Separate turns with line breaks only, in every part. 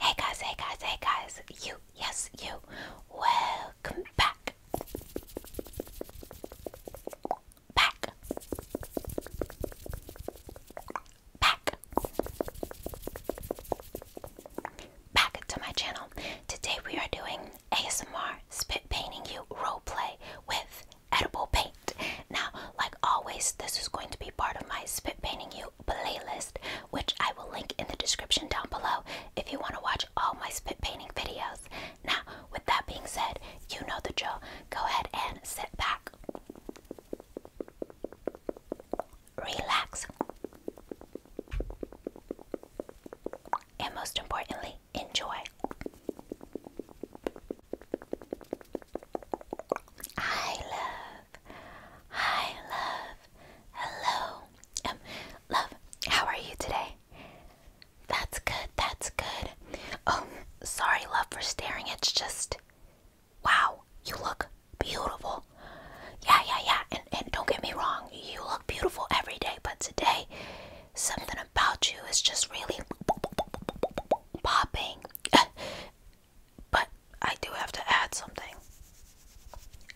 Hey guys, hey guys, hey guys, you, yes, you, welcome back. Back. Back. Back to my channel. Today we are doing ASMR spit painting you role play with edible paint. Now, like always, this is going to be part of my Spit Painting You playlist, which I will link in the description down below if you want to watch all my spit painting videos. Now, with that being said, you know the drill. Go ahead and sit back, relax, and most importantly, enjoy. I love, I love, hello, um, love, how are you today? That's good, that's good. Oh, sorry, love, for staring. It's just, wow, you look beautiful. Yeah, yeah, yeah. And, and don't get me wrong, you look beautiful every day, but today, something about you is just really popping. but I do have to add something.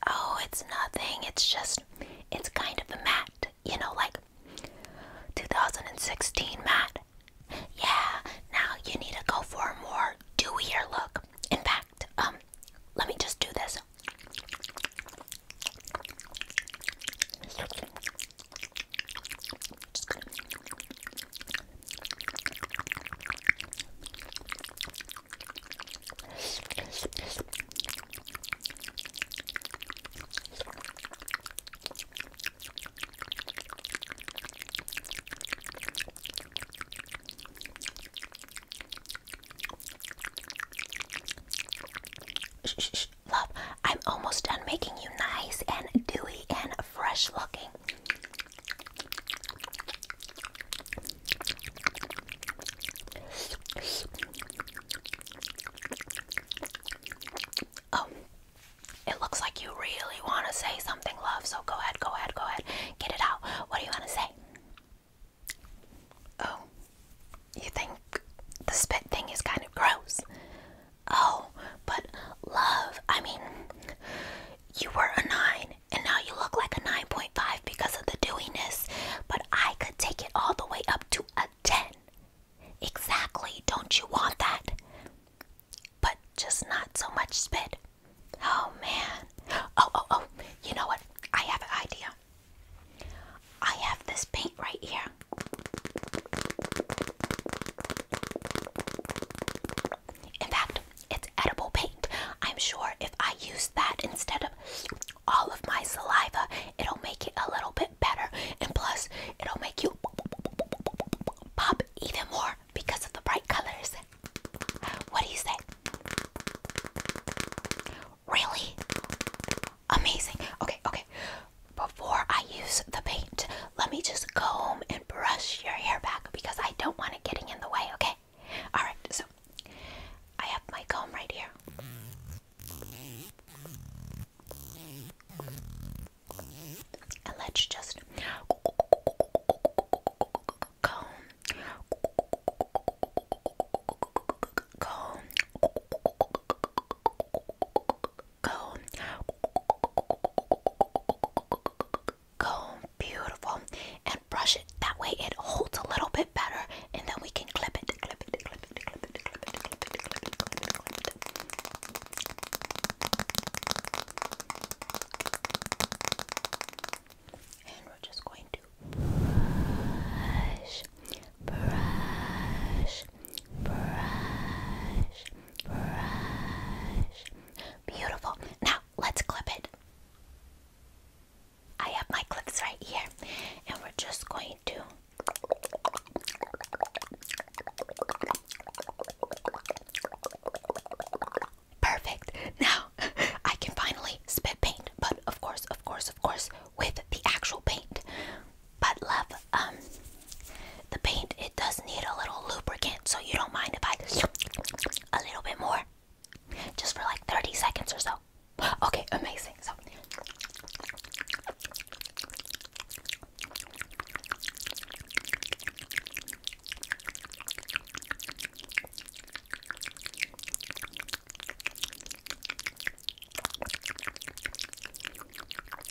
Oh, it's nothing. It's just, it's kind of a matte, you know, like 2016 matte. Yeah, now you need to go for a more dewier look. In fact, um, let me just do this. Just gonna Love, I'm almost done making you nice and dewy and fresh looking. Oh, it looks like you really want to say something, love. So go ahead, go ahead, go ahead. Get it out. What do you want to say? Oh, you think the spit thing is kind of gross? Oh, but love, I mean, you were a 9 and now you look like a 9.5 because of the dewiness, but I could take it all the way up to a 10. Exactly, don't you want that? But just not so much spit. Oh man. Oh, oh, oh, you know what? I have an idea. I have this paint right here. In fact, it's edible paint. I'm sure if I use that instead of all of my saliva, it'll make it a little bit better. And plus, it'll make you pop even more because of the bright colors. What do you say? Really? Amazing. Okay, okay before I use the paint, let me just comb and brush your hair back because I don't want it getting in the way, okay? Alright, so I have my comb right here. And let's just comb, comb, comb comb beautiful and brush it that way it holds a little bit better and then we can clip it clip it clip it clip it clip it clip it clip it clip it clip it and we're just going to brush brush brush Beautiful. Now let's clip it. I have my clips right here, and we're just going to. Perfect. Now I can finally spit paint, but of course, of course, of course, with the actual paint. But love, um, the paint it does need a little lubricant, so you don't mind if I a little bit more, just for like 30 seconds or so. Okay, amazing. So.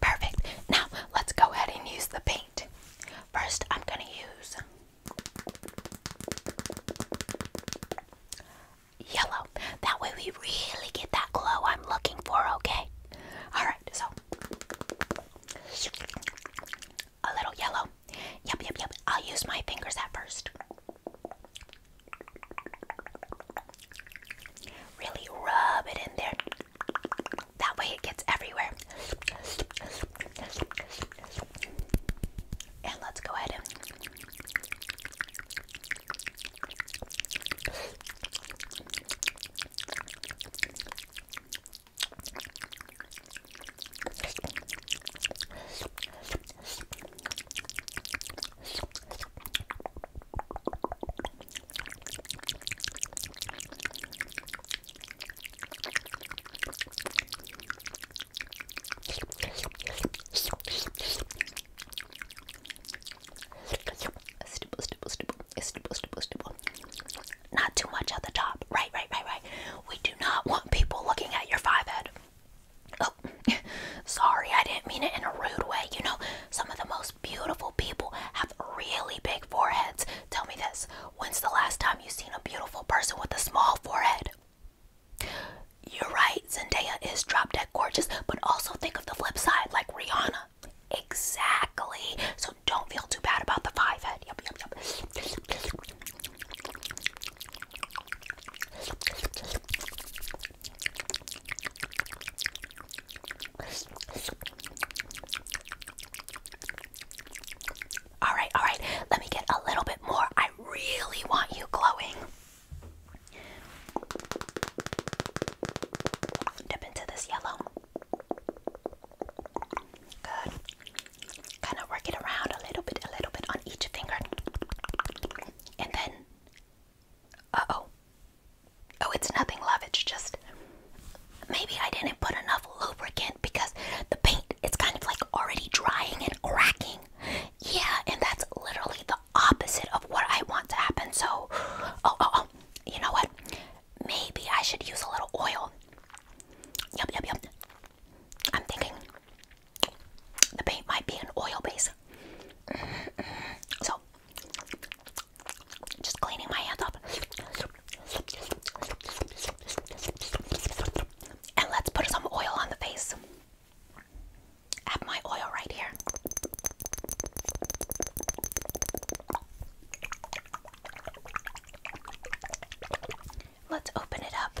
Perfect. Now let's go ahead and use the paint. First, I'm going to use yellow. That way we really get that glow I'm looking for, okay? Alright, so a little yellow. Yep, yep, yep. I'll use my fingers at first. Really rub it in there. That way it gets everywhere. And let's go ahead and not too much at the top. Right, right, right, right. We do not want people looking at your five head. Oh, sorry, I didn't mean it in a rude way. You know, some of the most beautiful people have have really big foreheads. Tell me this when's the last time you've seen a beautiful person with a small forehead? You're right, Zendaya is drop dead gorgeous, but also think of the flip side, like Rihanna. Exactly. So don't feel too bad about the five head. Yep, yep, yep. All right, all right. Let me get a little bit more. I really want you glowing. Dip into this yellow. Good. Kind of work it around a little bit, a little bit on each finger. And then, uh oh, Oh, it's nothing, love. It's just maybe I didn't put enough lubricant because the paint it's kind of like already drying and cracking. Yeah, and that's literally the opposite of what I want to happen. So, oh, oh, oh, you know what? Maybe I should use a little oil. Yep, yep, yep. I'm thinking the paint might be an oil base. Mm-hmm, mm-hmm. So, just cleaning my hands up. And let's put some oil on the face. I my oil right here. Let's open it up.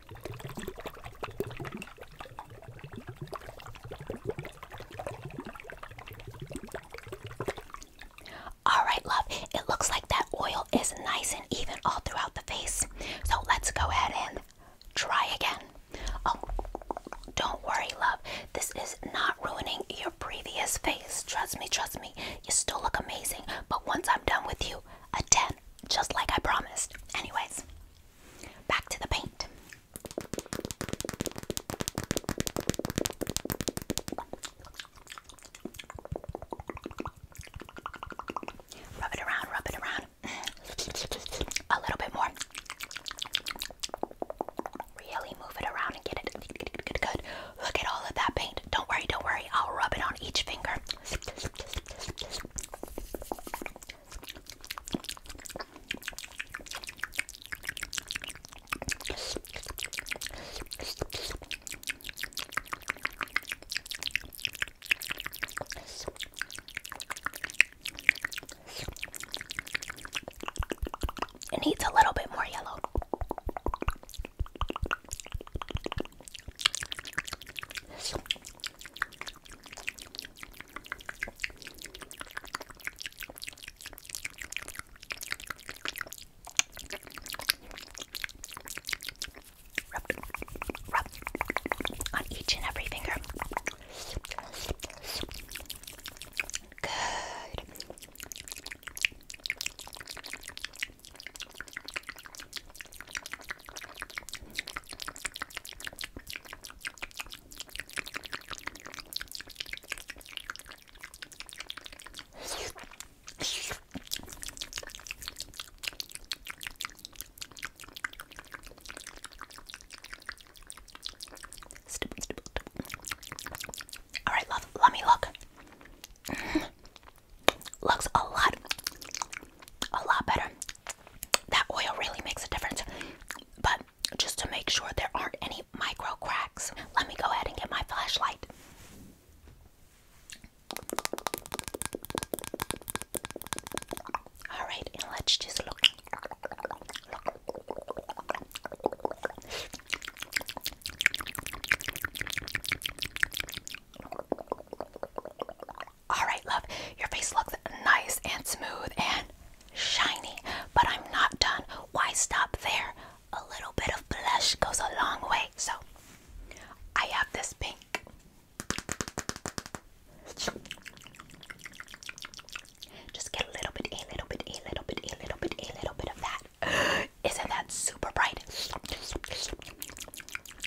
All right, love, it looks like that oil is nice and even all throughout the face. So let's go ahead and try again. Oh, don't worry, love. This is not ruining your previous face. Trust me, trust me. You still look amazing. But once I'm done with you, a 10, just like I promised. Anyways, Back to the paint. Rub it around, rub it around. A little bit more. Really move it around and get it good, good, good. Look at all of that paint. Don't worry, don't worry. I'll rub it on each finger. It needs a little bit more yellow. Rub, rub on each and every finger. Good. All right, love, let me look. Looks a lot, a lot better that oil really makes a difference. But just to make sure there aren't any micro cracks, let me go ahead and get my flashlight. All right, let's just look. All right, love, your face looks nice and smooth and shiny, but I'm not done. Why stop there? A little bit of blush goes a long way. So, I have this pink. Just get a little bit, a little bit, a little bit, a little bit, a little bit of that. Isn't that super bright?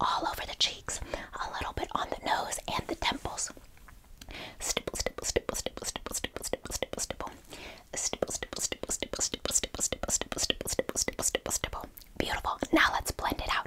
all over the cheeks, a little bit on the nose and the temples. Stipple, stipple, stipple, stipple, stipple, stipple, stipple, stipple, stipple. Stipple, stipple, stipple, stipple, stipple, stipple, stipple, stipple, stipple, stipple, stipple, stipple. Beautiful. Now let's blend it out.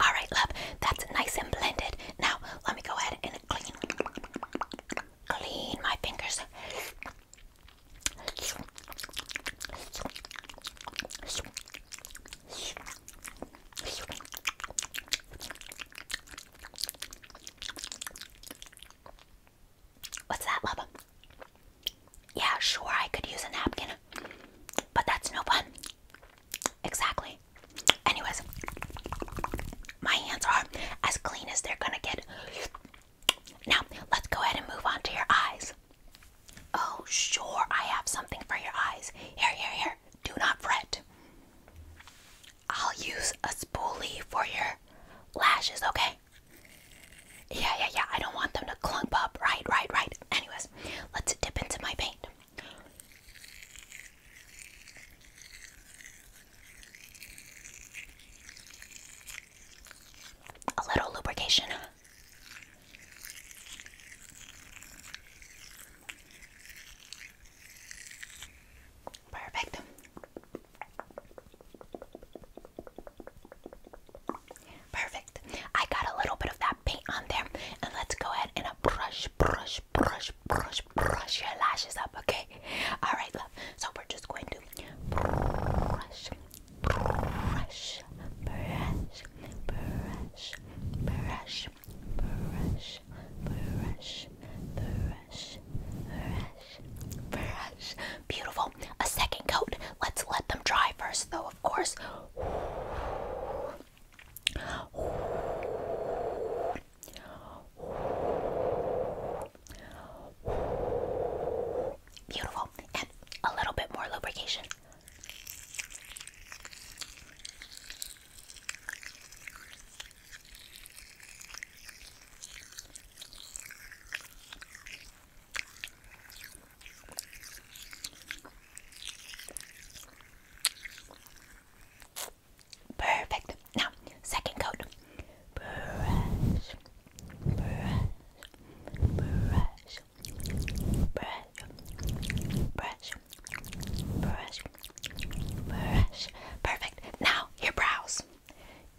All right, love, that's nice and blended. Now, let me go ahead and clean clean my fingers. What's that, Lubba? Yeah, sure, I could use a napkin, but that's no fun. Exactly. Anyways, my hands are as clean as they're gonna get. Now, let's go ahead and move on to your eyes. Oh, sure, I have something for your eyes. Here, here, here. Do not fret. I'll use a spoolie for your lashes, okay? Yeah, yeah, yeah. I don't want them to clump up. Right, right, right. Anyways, let's dip into my paint. A little lubrication. Perfect. Perfect. I got a little bit of that paint on there, and let's go ahead and brush, brush, brush, brush, brush your lashes up, okay? All right, love. So we're just going to brush, brush, brush, brush, brush, brush, brush, brush, Beautiful. A second coat. Let's let them dry first, though, of course. Beautiful. And a little bit more lubrication. Perfect. Now, second coat. Brush, brush, brush, brush, brush, brush, brush. Perfect. Now, your brows.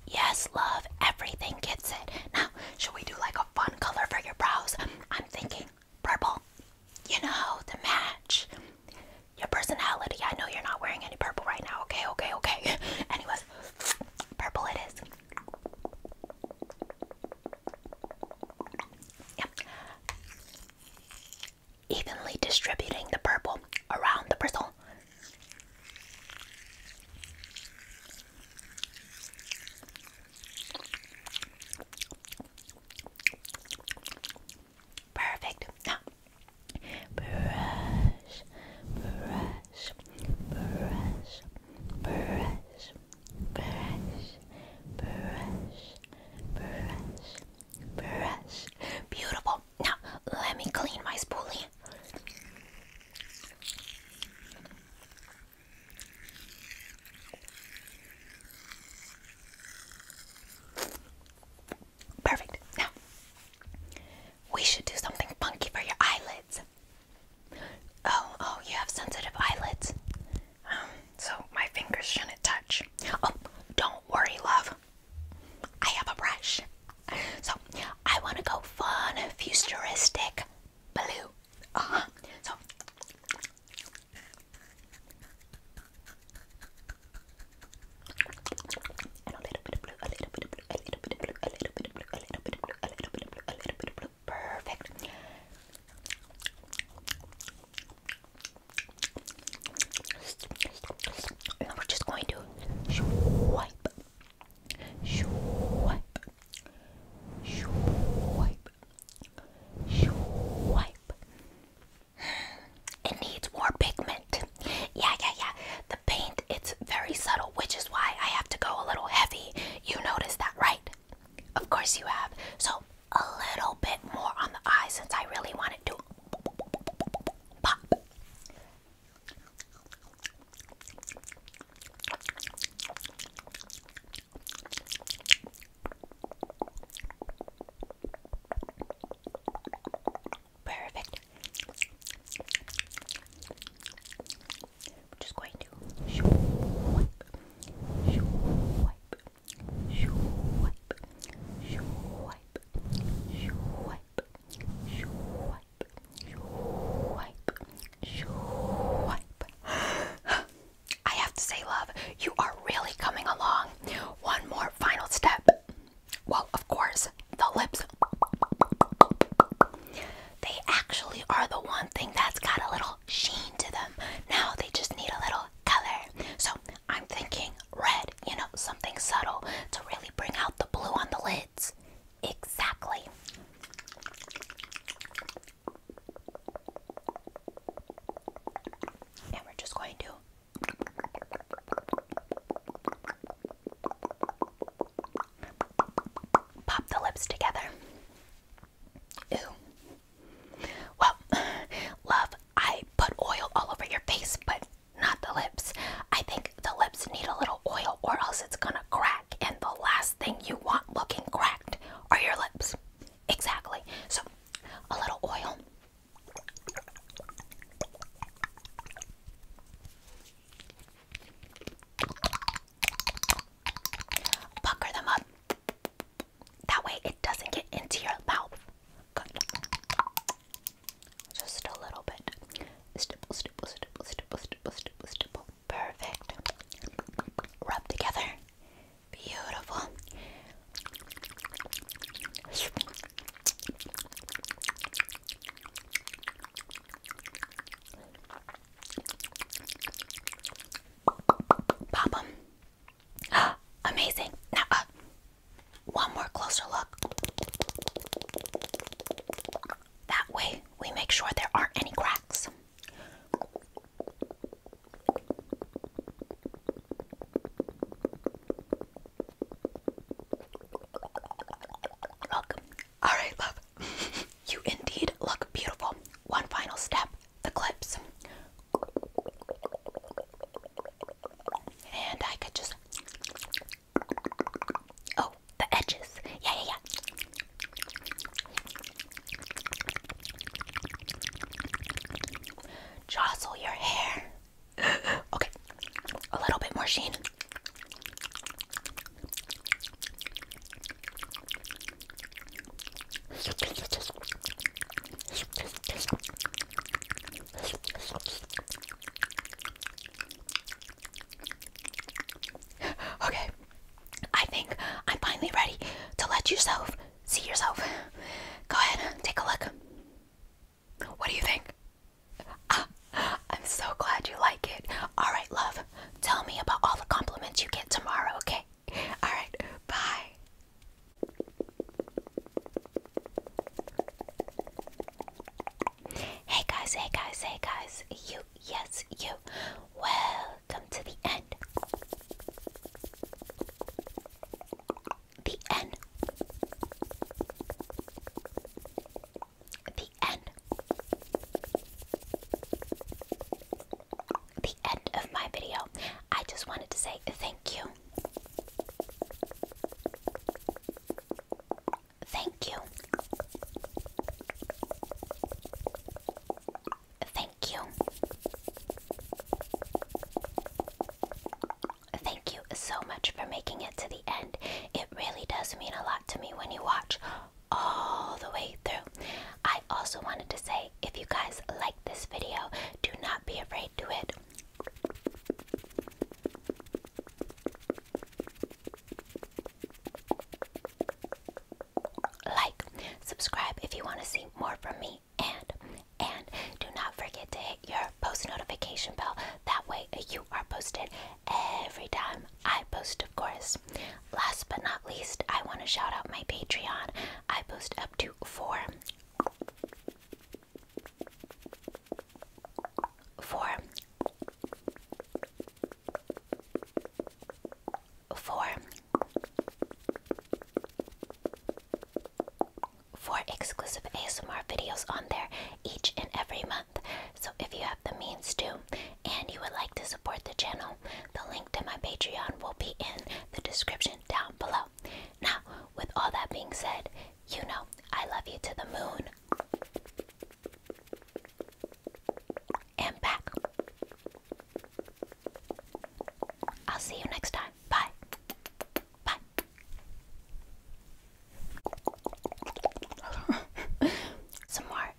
Yes, love, everything gets it. Now, should we do like a fun color for your brows? I'm thinking purple. You know, to match your personality. I know you're not wearing any purple right now. Okay, okay, okay. Anyways, purple it is. Yep evenly distributing the purple around the bristle. Perfect. Now, brush, brush, brush, brush, brush, brush, brush, brush. Beautiful now let me clean my spoolie. Perfect. Now, we should do something funky for your eyelids. Oh, oh, you have sensitive eyelids. Um, so my fingers shouldn't touch. Oh, don't worry, love. I have a brush. So I want to go fun, futuristic blue. Uh-huh. So and a little bit of blue, a little bit of blue, a little bit of blue, a little bit of blue, a little bit of blue, a little bit of blue, a little bit of blue. Perfect we're just going to swipe, swipe, swipe, swipe. It needs more pigment. Yeah, yeah, yeah. The paint, it's very subtle, which is why I have to go a little heavy. You notice that, right? Of course you have. So, a little bit more on the eyes since I really want it to pop. Perfect. We're just going to wipe, wipe, wipe, wipe, I have to say, love, you are really coming along. One more final step. Well, of course, the lips. They actually are the one thing that's got a little sheen to them. Now they just need a little color. So I'm thinking red you know, something subtle to really bring out the blue on the lids. Exactly. And we're just going to. Pop the lips together. Ew. Well, love, I put oil all over your face, but not the lips. I think the lips need a little oil or else it's gonna crack, and the last thing you want looking cracked are your lips. Exactly. So, a little oil. Pucker them up. That way it doesn't get into your mouth. Just a little bit. Stipple, stipple, stipple, stipple, stipple, Perfect. Rub together. Beautiful. Pop them. amazing. Now, one more closer look. That way we make sure there aren't any cracks. Look. Alright, love. you indeed look beautiful. One final step the clips. And I could just. Oh, the edges. Yeah, yeah, yeah. Jostle your hair. okay, a little bit more sheen. Okay, I think I'm finally ready to let yourself see yourself. Go ahead, take a look. What do you think? Ah, I'm so glad you like it. All right, love, tell me about all the compliments you get tomorrow, okay? All right, bye. Hey guys, hey guys, hey guys, you, yes, you, welcome to the end. The end. The end. The end of my video. I just wanted to say thank you Thank you. Thank you. Thank you so much for making it to the end. It really does mean a lot to me when you watch all the way through. I also wanted to say if you guys like this video, do not be afraid do it. Like, subscribe if you want to see more from me, and and do not forget to hit your post notification bell. That way, uh, you are posted every time I post, of course. Last but not least, I want to shout out my Patreon. I post up to four four, four, four exclusive ASMR videos on there each and every month. So if you have the means to and you would like to support the channel, the link to my Patreon will be in the description down below. Now, with all that being said, you know, I love you to the moon. And back. I'll see you next time. Bye. Bye. Some more.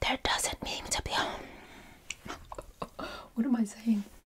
There doesn't mean to be. what am I saying?